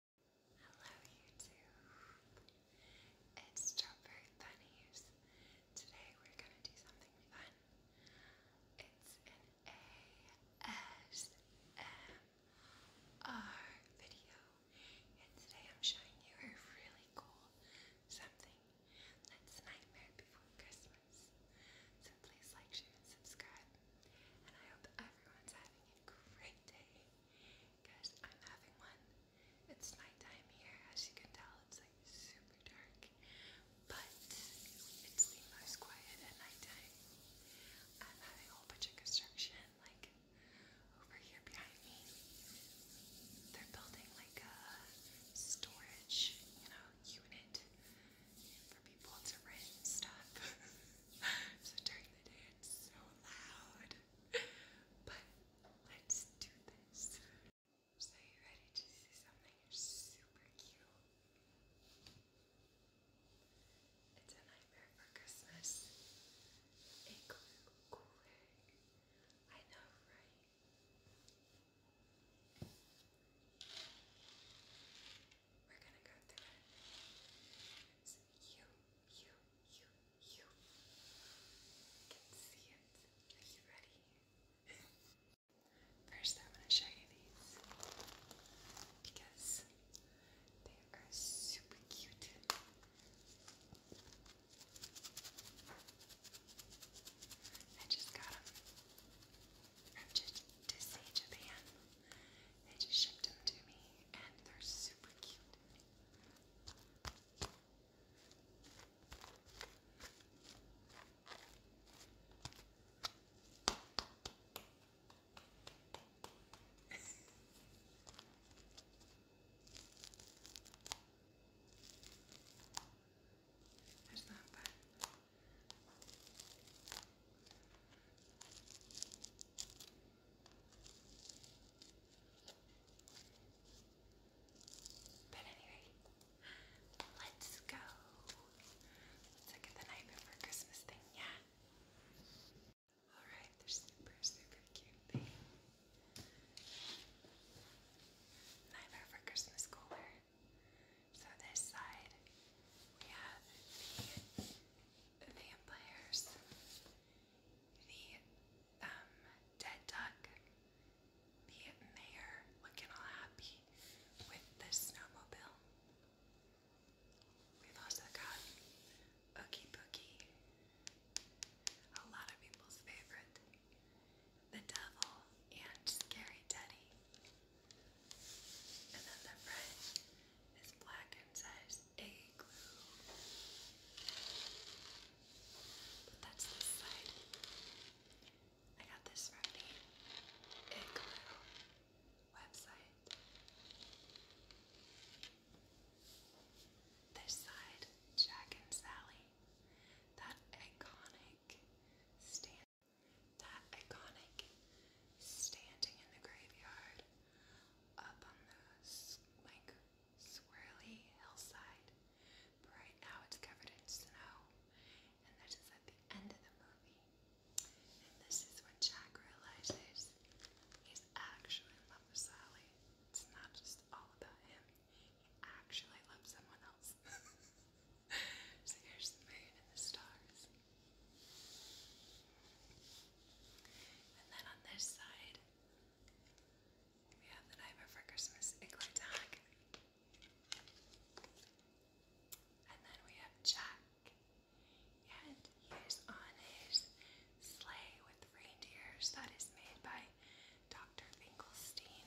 Hello YouTube, it's Strawberry Bunnies. Today we're going to do something fun. It's an ASMR video and today I'm showing you a really cool something that's Nightmare Before Christmas. So please like, share and subscribe and I hope everyone's having a great day. Guys, I'm having one. It's nighttime here, as you can tell, it's like super dark. But it's the most quiet at nighttime. I'm having a whole bunch of construction, like over here behind me. They're building like a storage, you know, unit for people to rent stuff. so during the day it's so loud. But let's do this. So you ready to see something super cute? It's a nightmare for Christmas. A glue cool egg. I know, right? We're gonna go through it you, you, you, you can see it. Are you ready? First, I'm going to show you these because they are super cute. I just got them from Disney Japan they just shipped them to me and they're super cute. Isn't that but anyway, let's go. Let's look the night before Christmas thing, yeah. Alright, they're super, super cute thing. Night before Christmas cooler. So this side we have the vampires, the um dead duck, the mayor looking all happy with the snowmobile. We've also got Ookie Pookie, a lot of people's favorite, the devil, and Scary Teddy. And then the French is black and says igloo. But that's this side. I got this from the igloo website. This side, Jack and Sally. That iconic stand that iconic standing in the graveyard up on the like swirly hillside. right now it's covered in snow, and that is at the end of the movie. And this is when Jack realizes he's actually in love with Sally. It's not just all about him. He actually loves someone else. so here's the moon and the stars. And then on this side, we have the Nightmare for Christmas igloo tag. And then we have Jack. And he is on his sleigh with reindeers that is made by Dr. Finkelstein.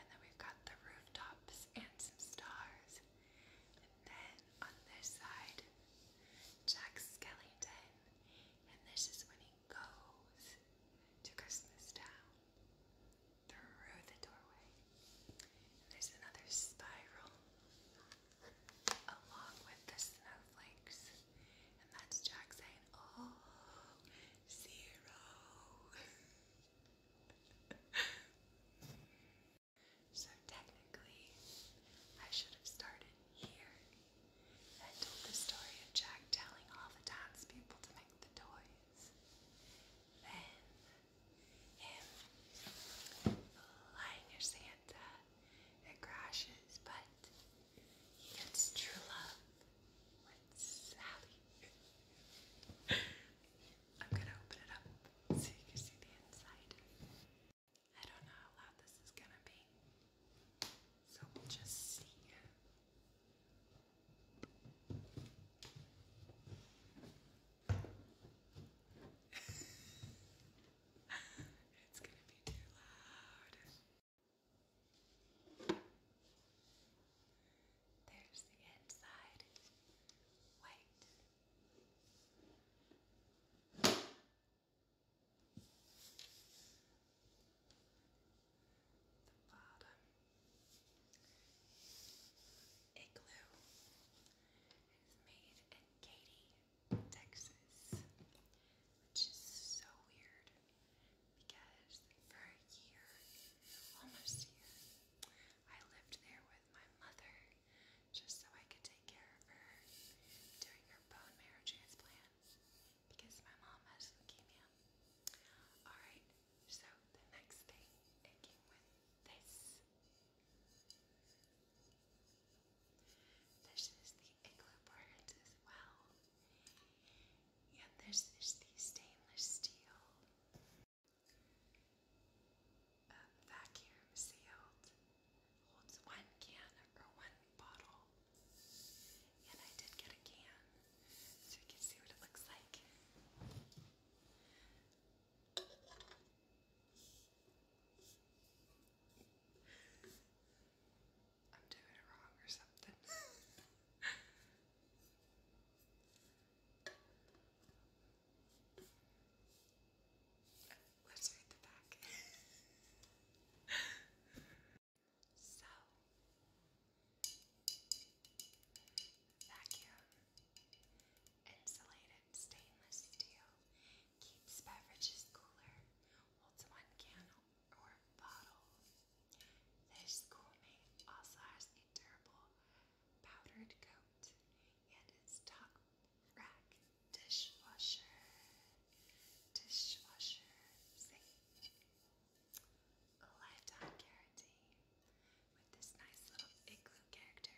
And then we've got the rooftops and some stars. And then on this side, Jack Skellington. And this is when he goes to Christmas Town through the doorway. there's another spiral along with the snowflakes. And that's Jack saying, Oh, zero. so technically, I should have started here and told the story of Jack telling all the dance to make the toys. Then, him lying your Santa, it crashes, but he gets true love Sally. I'm gonna open it up so you can see the inside. I don't know how loud this is gonna be, so we'll just see. it's gonna be too loud. There's the inside, white. The bottom, igloo, is made in Katy, Texas, which is so weird because for a year, almost a year, I lived there with my mother just so I could take care of her during her bone marrow transplant because my mom has leukemia. Alright, so the next thing, it came with this. This is the igloo part as well. Yeah, this is the stainless steel um, vacuum sealed. Holds one can or one bottle. And I did get a can so you can see what it looks like. I'm doing it wrong or something. Let's the back. so, vacuum insulated stainless steel keeps beverages cooler, holds one can or bottle. This schoolmate also has a durable powdered coat and its top rack dishwasher. Dishwasher safe. lifetime guarantee with this nice little igloo character.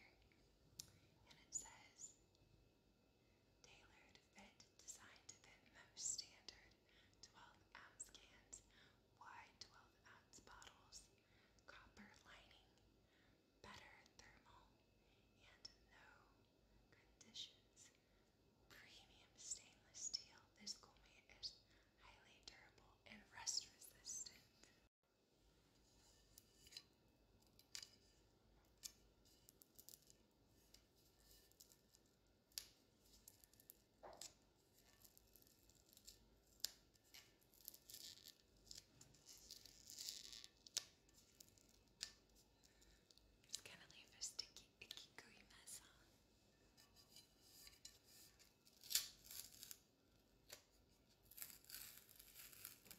And it says tailored fit, designed to fit most standards. 12 ounce cans, wide 12 ounce bottles, copper lining, better thermal, and no conditions. Premium stainless steel. This gourmet is highly durable and rust resistant. It's gonna leave a sticky, icky, gooey mess on. Huh?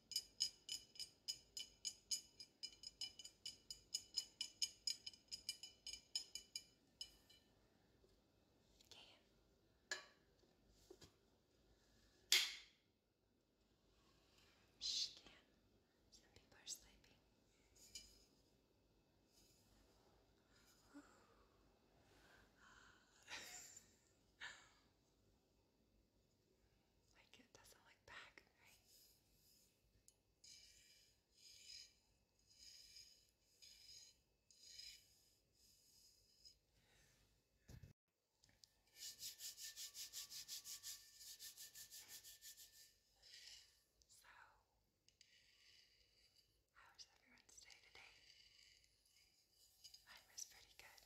Okay. Shh, Dan. Some people are sleeping. Like it doesn't look back, right? So, how was everyone's day today? Mine was pretty good.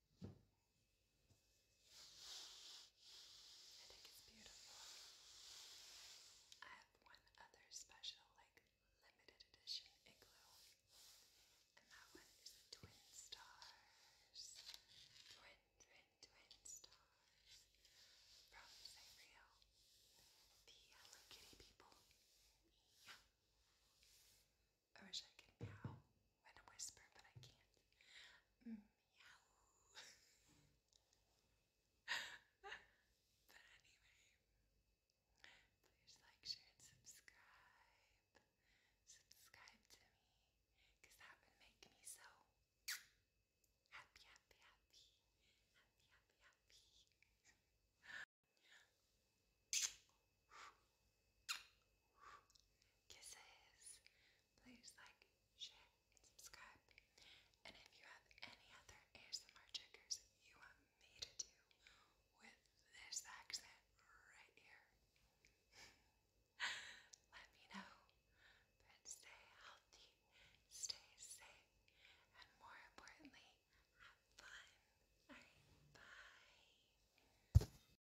I think it's beautiful. I have one other special, like limited edition igloo, and that one is twin stars, twin, twin, twin stars from Sanrio, the Hello Kitty people. Yeah. I wish I could meow and whisper, but I can't. Mm but anyway, please like, share, and subscribe. Subscribe to me, that would make me so happy, happy, happy. Happy, happy, happy. Kisses. Please like, share, and subscribe. And if you have any other ASMR triggers you want me to do with this accent right here, let me know. But stay healthy, stay safe, and more importantly, have fun. Alright, bye.